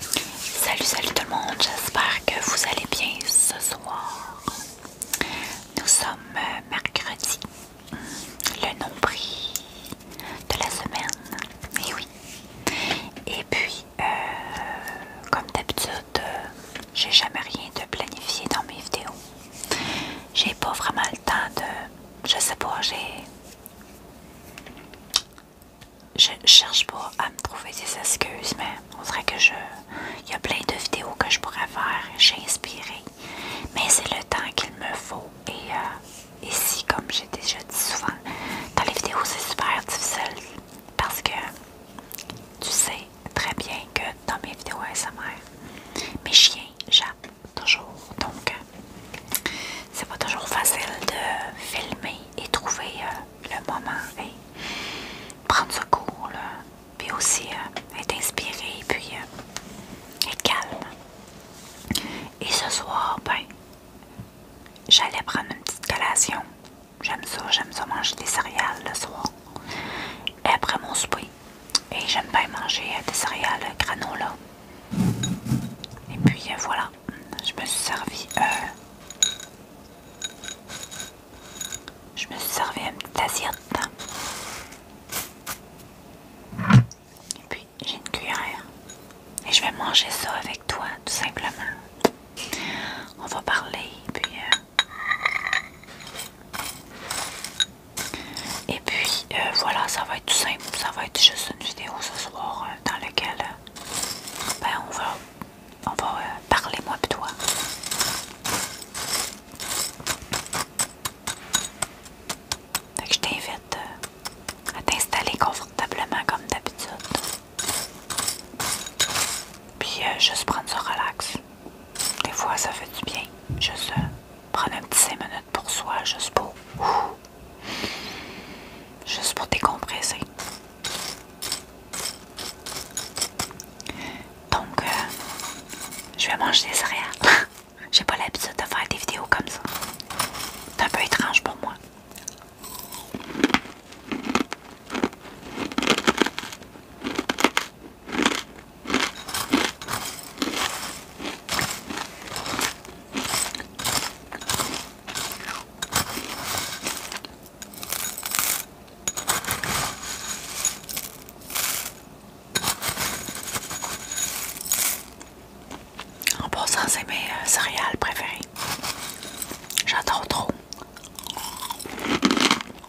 Salut, salut tout le monde, j'espère que vous allez bien ce soir. Nous sommes euh, mercredi, le nom nombril de la semaine, et oui. Et puis, euh, comme d'habitude, j'ai jamais rien de planifié dans mes vidéos. J'ai pas vraiment le temps de. Je sais pas, j'ai je ne cherche pas à me trouver des excuses, mais on dirait que je. Il y a plein de vidéos que je pourrais faire, j'ai inspiré, mais c'est le temps qu'il me faut. Et, ici euh, comme j'ai déjà dit souvent, dans les vidéos, c'est super difficile parce que tu sais très bien que dans mes vidéos ASMR, mes chiens, j'aime toujours. Donc, euh, c'est pas toujours facile de filmer et trouver euh, le moment et prendre ce cours, là. puis aussi euh, être inspiré, puis être calme. Et ce soir, ben, j'allais prendre une petite collation. J'aime ça, j'aime ça manger des céréales le soir. Et après mon souper, et j'aime pas manger euh, des céréales granola. Et puis euh, voilà, je me suis servi. Euh, je me suis servi un assiette. Et puis j'ai une cuillère. Et je vais manger ça avec toi, tout simplement. On va parler, puis. Euh, et puis euh, voilà, ça va être tout simple. Ça va être juste une vidéo ce soir euh, dans laquelle euh, ben, on va, on va parler moi et toi. Donc, je t'invite à t'installer confortablement comme d'habitude. Puis juste prendre ça relax. Des fois, ça fait du bien. Juste euh, prendre un petit 5 minutes pour soi, juste pour. juste pour décompresser. Donc, euh, je vais manger des céréales. J'ai pas l'habitude de faire des vidéos comme ça. C'est un peu étrange pour moi. En passant, c'est mes euh, céréales préférées. J'adore trop.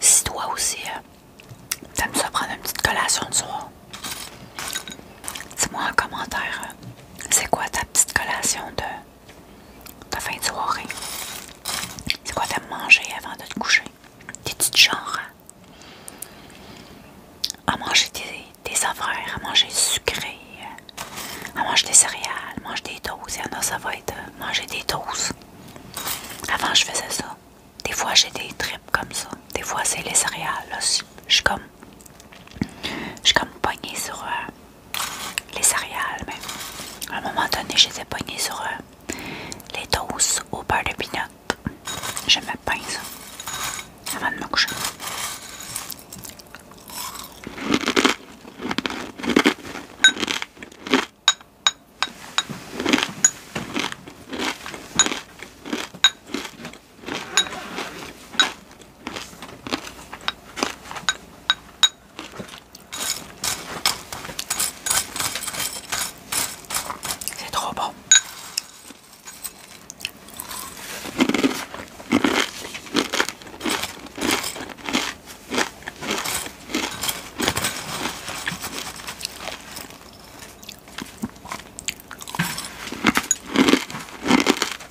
Si toi aussi, euh, t'aimes ça prendre une petite collation de soir, dis-moi en commentaire, euh, c'est quoi ta petite collation de ta fin de soirée. C'est quoi faire manger avant de te coucher? T'es-tu du genre à, manger des, affaires, à manger sucré, à manger des céréales, manger des toasts? Il y en a, ça va être euh, manger des toasts. Avant, je faisais ça. Des fois, j'ai des tripes comme ça. Des fois, c'est les céréales. Là. Je suis comme. Je suis comme poignée sur. Euh, les céréales mais À un moment donné, j'étais poignée sur euh, les toasts au beurre de Je me bien ça. Avant de me coucher. C'est trop bon.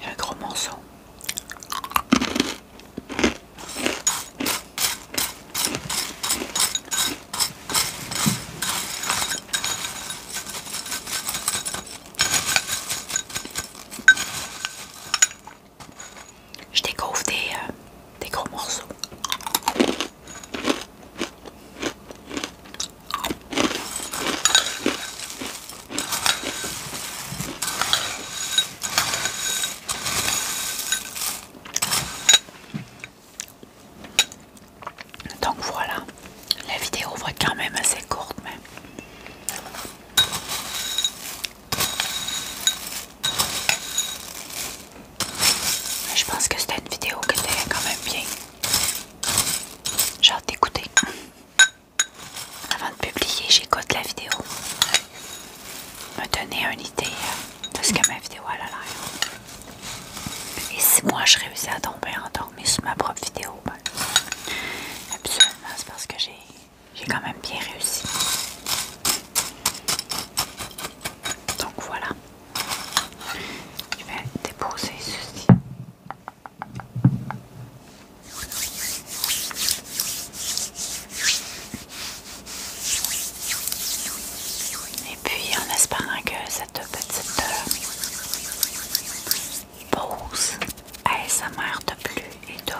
Il y a un gros morceau je découvre euh, des, gros morceaux. Donc voilà, la vidéo va être quand même assez courte, mais je pense que c'était une vidéo qui était quand même bien. Genre d'écouter. Avant de publier, j'écoute la vidéo. Me donner une idée euh, de ce que ma vidéo a l'air. Et si moi je réussis à tomber endormie sur ma propre vidéo, ben, absolument c'est parce que j'ai j'ai quand même bien réussi. Donc voilà. Je vais déposer ceci. Et puis en espérant que cette petite euh, pause ASMR de plus et de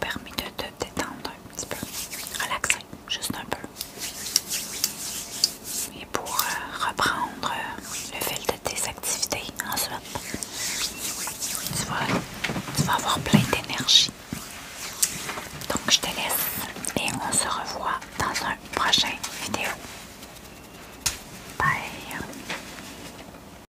permet de te détendre un petit peu, relaxer juste un peu. Et pour euh, reprendre euh, le fil de tes activités ensuite, tu vas, avoir plein d'énergie. Donc je te laisse et on se revoit dans un prochaine vidéo. Bye!